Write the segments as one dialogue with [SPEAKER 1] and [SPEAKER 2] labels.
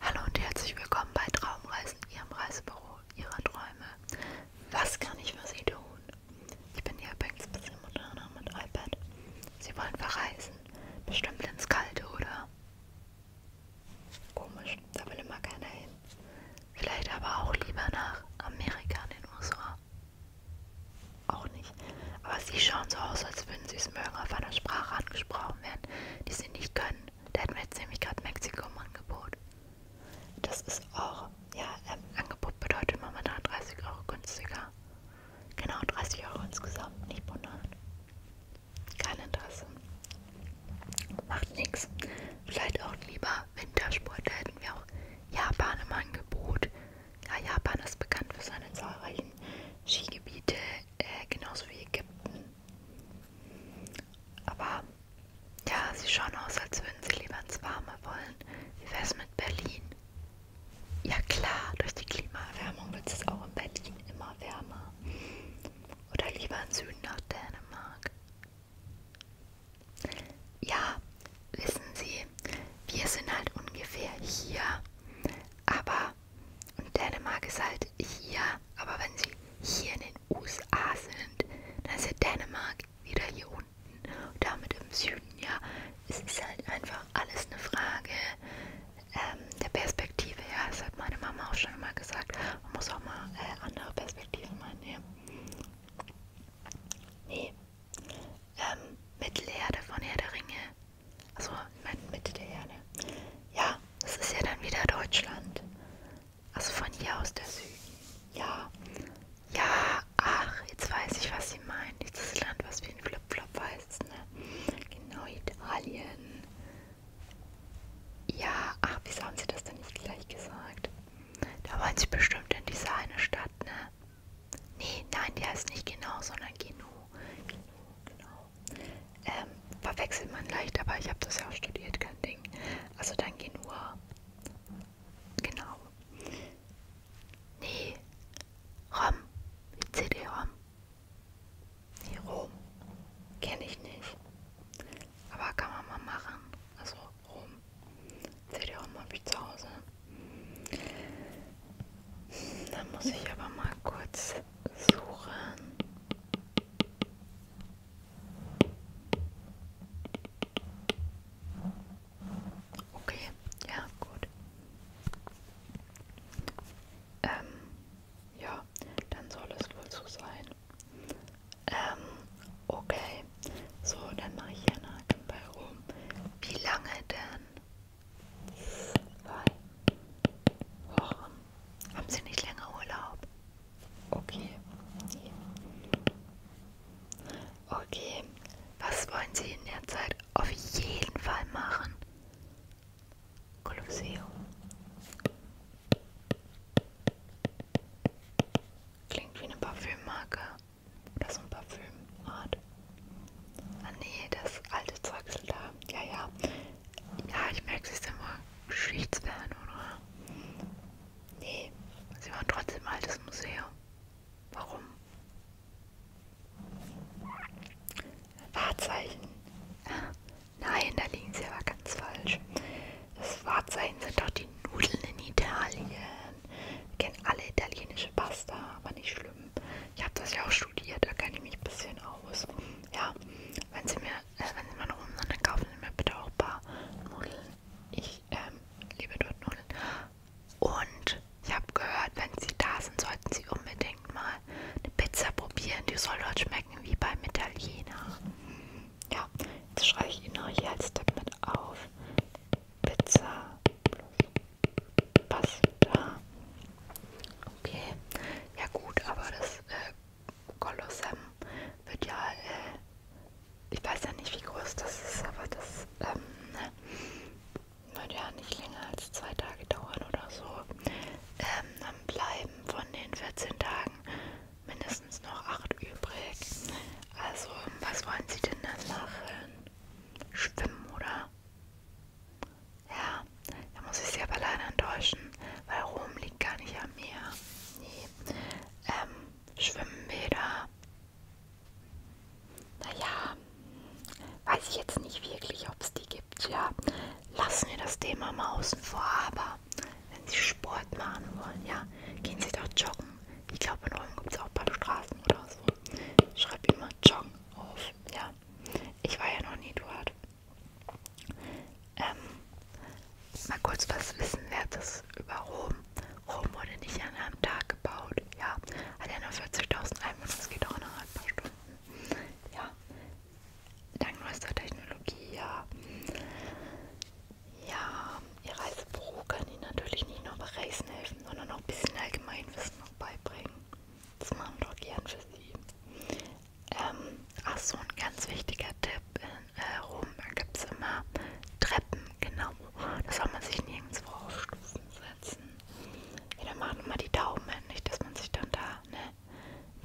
[SPEAKER 1] Hallo und herzlich willkommen bei Traumreisen, Ihrem Reisebüro Ihrer Träume. Was kann ich für Sie tun? Ich bin hier übrigens ein bisschen moderner mit iPad. Sie wollen verreisen. Bestimmt ins Kalte, oder? Komisch, da will immer keiner hin. Vielleicht aber auch lieber nach Amerika in den USA. Auch nicht. Aber sie schauen so aus, als würden sie es mögen, auf einer Sprache angesprochen werden, die sie nicht können der hat mir jetzt nämlich gerade Mexiko im Angebot. Das ist auch, ja, ähm, Angebot bedeutet momentan 30 Euro günstiger. Genau, 30 Euro insgesamt, nicht wundern. Kein Interesse. Macht nichts. Vielleicht auch lieber Wintersport. Da hätten wir auch Japan im Angebot. Ja, Japan ist bekannt für seine zahlreichen Skigebiete, äh, genauso wie Ägypten. Aber ja, sie schauen aus, als würden sie lieber ins Warme wollen. Wie wäre es mit Berlin? Ja klar, durch die Klimaerwärmung wird es auch in Berlin immer wärmer. Oder lieber im Süden nach Dänemark. Ja, wissen Sie, wir sind halt ungefähr hier. Aber und Dänemark ist halt hier, aber wenn sie hier in den USA sind, dann ist ja Dänemark wieder hier unten und damit im Süden, ja. Es ist halt einfach alles eine Frage ähm, der Perspektive, ja. Das hat meine Mama auch schon immer gesagt. Man muss auch mal äh, andere Perspektiven mal nehmen. Nee. Ähm, Mittelerde von Herr der Ringe also Mitte der Erde. Ja, das ist ja dann wieder Deutschland. Also von hier aus der Süden. Ja. Ja, ach, jetzt weiß ich, was sie meinen. Dieses Land, was wie ein Flipflop heißt, ne? Genau, Italien. Ja, ach, wieso haben sie das denn nicht gleich gesagt? Da wollen sie bestimmt in diese eine Stadt, ne? Nee, nein, die heißt nicht genau, sondern Geno. Genau, genau. Ähm, verwechselt man leicht, aber ich habe das ja auch studiert, kein Ding. Also dann geh nur. Genau. Nee. ROM. CD-ROM. Nee, Rom. Kenne ich nicht. Aber kann man mal machen. Also Rom. CD-ROM habe ich zu Hause. Da muss ich aber mal kurz suchen. Okay, ja, gut. Ähm, ja, dann soll es wohl so sein. Ähm, okay. So, dann mache ich einen Haken bei rum. Wie lange denn? Zwei Wochen. Haben Sie nicht länger Urlaub? Okay. Okay. Was wollen Sie in der Zeit auf jeden Fall machen? Kolosseum. Klingt wie eine Parfümmarke. Oder so ein Parfümart. Ah nee, das alte Zeugsel da. Ja, ja. Ja, ich merke, sie ist immer Geschichtsfern, oder? Nee, sie war trotzdem altes Museum. Warum? Wahrzeichen. Ah, nein, da liegen sie aber ganz falsch. Das Wahrzeichen sind doch die Nudeln in Italien. Wir kennen alle italienische Pasta, aber nicht schlimm ich habe das ja auch studiert, da kenne ich mich ein bisschen aus. Ja, wenn sie mir, äh, wenn sie mal noch rum sind, dann kaufen sie mir bitte auch ein paar Nudeln. Ich ähm, liebe dort Nudeln. Und ich habe gehört, wenn sie da sind, sollten sie unbedingt mal eine Pizza probieren. Die soll dort schmecken wie beim Italiener. Ja, jetzt schreibe ich Ihnen noch hier als Tipp mit auf. Pizza Passt da. Okay. Ja gut, aber das äh, Kolossum wird ja, äh, ich weiß ja nicht wie groß das ist, aber das ähm, ne, wird ja nicht länger als zwei Tage dauern oder so. Ähm, dann bleiben von den 14 Tagen mindestens noch 8 übrig. Also, was wollen Sie denn dann machen? Schwimmen, oder? Ja, da muss ich Sie aber leider enttäuschen, weil Rom liegt gar nicht am Meer. Nee. Ähm, Schwimmbäder. Naja, weiß ich jetzt nicht wirklich, ob es die gibt. Ja, lassen wir das Thema mal außen vor. Aber wenn Sie Sport machen wollen, ja, gehen Sie doch joggen. Ich glaube, in Rom gibt es auch ein paar Straßen oder so. Schreib immer Joggen auf. Ja, war. Ich war ja noch nie dort. Ähm, mal kurz was Wissenwertes über Rom. Rom wurde nicht an einem Tag gebaut. Ja, hat ja nur 40.000 Einwohner. Es geht auch noch ein paar Stunden. Ja, dank neuester Technologie, ja. Ja, ihr Reisebüro kann Ihnen natürlich nicht nur bei Reisen helfen, sondern auch ein bisschen Allgemeinwissen noch beibringen. Das machen wir doch gern für Sie. Ähm, Achso, ein ganz wichtiger Tipp: In äh, Rom gibt es immer Treppen, genau. Da soll man sich nirgendwo auf Stufen setzen. Jeder macht immer die Daumen, nicht, dass man sich dann da, ne,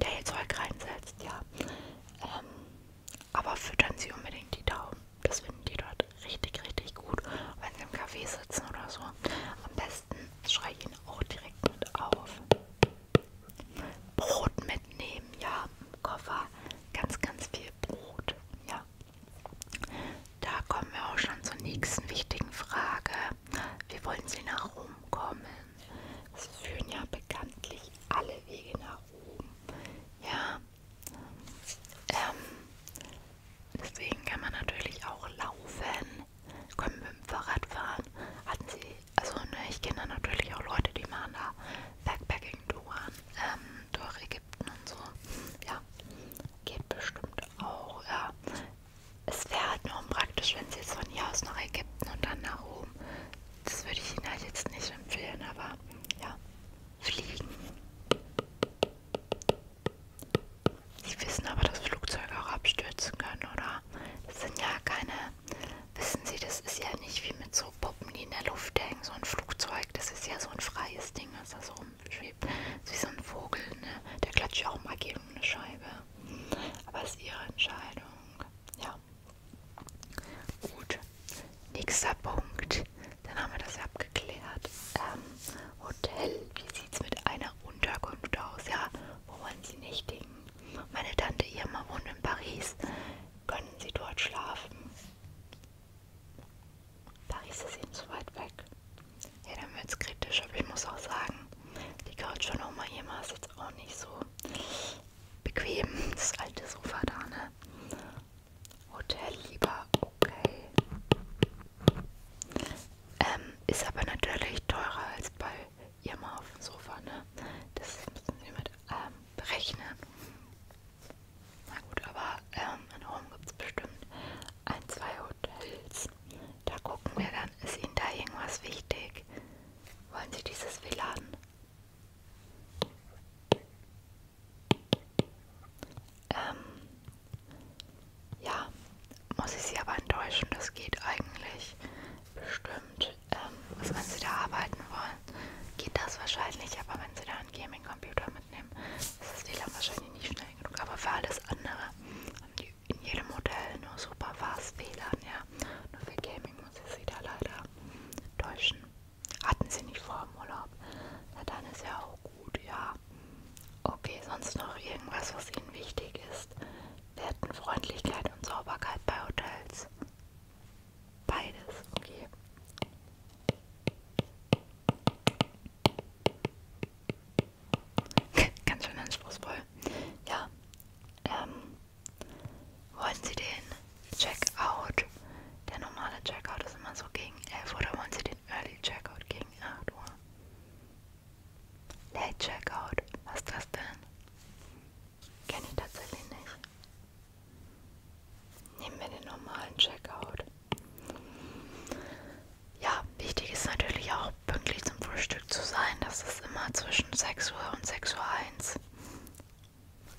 [SPEAKER 1] der jetzt Zeug reinsetzt, ja. Ähm, aber füttern Sie unbedingt die Daumen. Das finden die dort richtig, richtig gut. Wenn Sie im Café sitzen oder so. Am besten besten schreie ich ihn auch direkt mit auf. Brot mitnehmen, ja, im Koffer ganz, ganz viel Brot, ja. Da kommen wir auch schon zur nächsten wichtigen Frage. Wie wollen Sie nach Rom kommen? Es führen ja bekanntlich alle Wege nach Rom. Ja. Ähm, Deswegen kann man natürlich auch laufen, können mit dem Fahrrad fahren. Hatten sie, also ne, ich kenne da natürlich auch Leute, die machen da Backpacking-Touren ähm, durch Ägypten und so. Ja, geht bestimmt auch. Ja. Es wäre halt nur unpraktisch, wenn sie jetzt von hier aus nach Ägypten und dann nach Rom. Das würde ich Ihnen halt jetzt nicht empfehlen, aber ja, fliegen. Sie wissen aber, dass Flugzeuge auch abstürzen können, oder? Das sind ja keine. Wissen Sie, das ist ja nicht wie mit so Puppen, die in der Luft hängen. So ein Flugzeug, das ist ja so ein freies Ding, was da so rumschwebt. Das ist wie so ein Vogel, ne? Der klatscht ja auch mal gegen eine Scheibe. Aber es ist Ihre Entscheidung. Ja. Gut. Nächster Punkt. Dann haben wir das ja abgeklärt. Ähm, Hotel. Wie sieht's mit einer Unterkunft aus? Ja, wo wollen Sie nächtigen? Meine Tante Irma wohnt in Paris. Können Sie dort schlafen? Paris ist Ihnen zu weit weg. Ja, dann wird's kritisch, aber ich muss auch sagen, die Couch von Oma Irma ist jetzt auch nicht so bequem. Das alte Sofa da, ne? Hotel lieber, okay. Ähm, ist aber natürlich teurer als bei ihrem auf dem Sofa, ne? Das müssen Sie mit ähm, berechnen. Na gut, aber ähm, in Rom gibt es bestimmt ein, zwei Hotels. Da gucken wir dann, ist Ihnen da irgendwas wichtig? Wollen Sie dieses WLAN? Ähm, ja, muss ich Sie aber enttäuschen, das geht eigentlich bestimmt. Ähm, also wenn Sie da arbeiten wollen, geht das wahrscheinlich, aber wenn Sie da einen Gaming-Computer mitnehmen, ist das WLAN wahrscheinlich nicht schnell genug. Aber für alles andere haben die in jedem Hotel nur super fast WLAN, ja. Nur für Gaming muss ich Sie da leider täuschen. Hatten Sie nicht vor im Urlaub? Na dann ist ja auch auch gut, ja. Okay, sonst noch irgendwas, was Ihnen wichtig ist? Werten, Freundlichkeit und Sauberkeit bei Hotels. Beides, okay. Ganz schön anspruchsvoll. Ja. Ähm, wollen Sie den Checkout? Der normale Checkout ist immer so gegen 11 oder wollen Sie den Early Checkout gegen 8 Uhr. Late Checkout, was ist das denn? Kenne ich tatsächlich nicht. Nehmen wir den normalen Checkout. Ja, wichtig ist natürlich auch pünktlich zum Frühstück zu sein. Das ist immer zwischen 6 Uhr und 6.01 Uhr.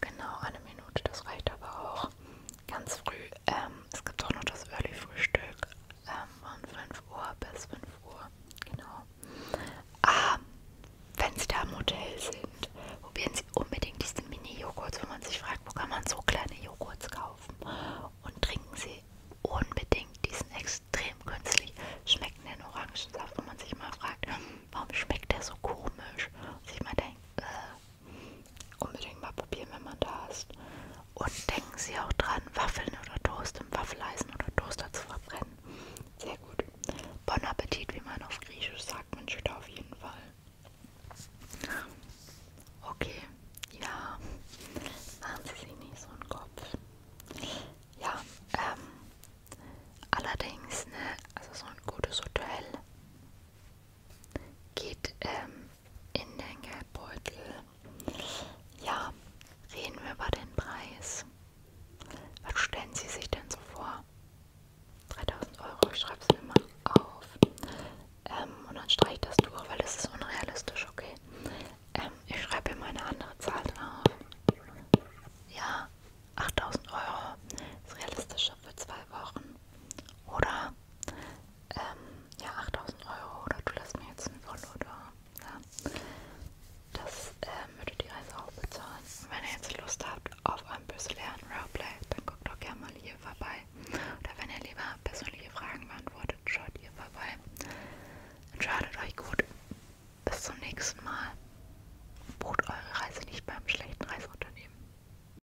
[SPEAKER 1] Genau, eine Minute, das reicht aber auch ganz früh. Ähm, es gibt auch noch das Early Frühstück ähm, von 5 Uhr bis 5 Uhr. Genau. Ah, wenn Sie da im Hotel sind, probieren Sie unbedingt diese Mini-Joghurts, wenn man sich fragt, wo kann man so kleine Joghurts kaufen. Und trinken Sie unbedingt diesen extrem künstlich schmeckenden Orangensaft, wo man sich mal fragt, warum schmeckt der so komisch? Und sich mal denkt, äh, Unbedingt mal probieren, wenn man da ist. Und denken Sie auch dran, Waffeln oder Toast im Waffeleisen oder Toaster zu verbrennen. Sehr gut. Bon Appetit, wie man auf Griechisch sagt, man steht auf jeden Fall. Okay, ja. Machen Sie sich nicht so einen Kopf. Ja, ähm, allerdings, ne, also so ein gutes Hotel geht ähm, in den Geldbeutel. Ja, reden wir über den Preis. Was stellen Sie sich denn so vor? 3000 Euro, ich schreibe es mir mal auf. Ähm, und dann streiche ich das durch, weil es ist unrealistisch, okay? Ähm, ich schreibe mir mal eine andere Zahl drauf. Ja, 8000 Euro ist realistischer für zwei Wochen. Oder ähm, ja, 8000 Euro oder du lässt mir jetzt einen Follow da. Ja. Das ähm, würde die Reise auch bezahlen. Und wenn ihr jetzt Lust habt auf ein bisschen Roleplay, dann guckt doch gerne mal hier vorbei. Oder wenn ihr lieber persönliche Fragen beantwortet, schaut hier vorbei. Entscheidet euch gut. Bis zum nächsten Mal. Bucht eure Reise nicht beim schlechten Reiseunternehmen.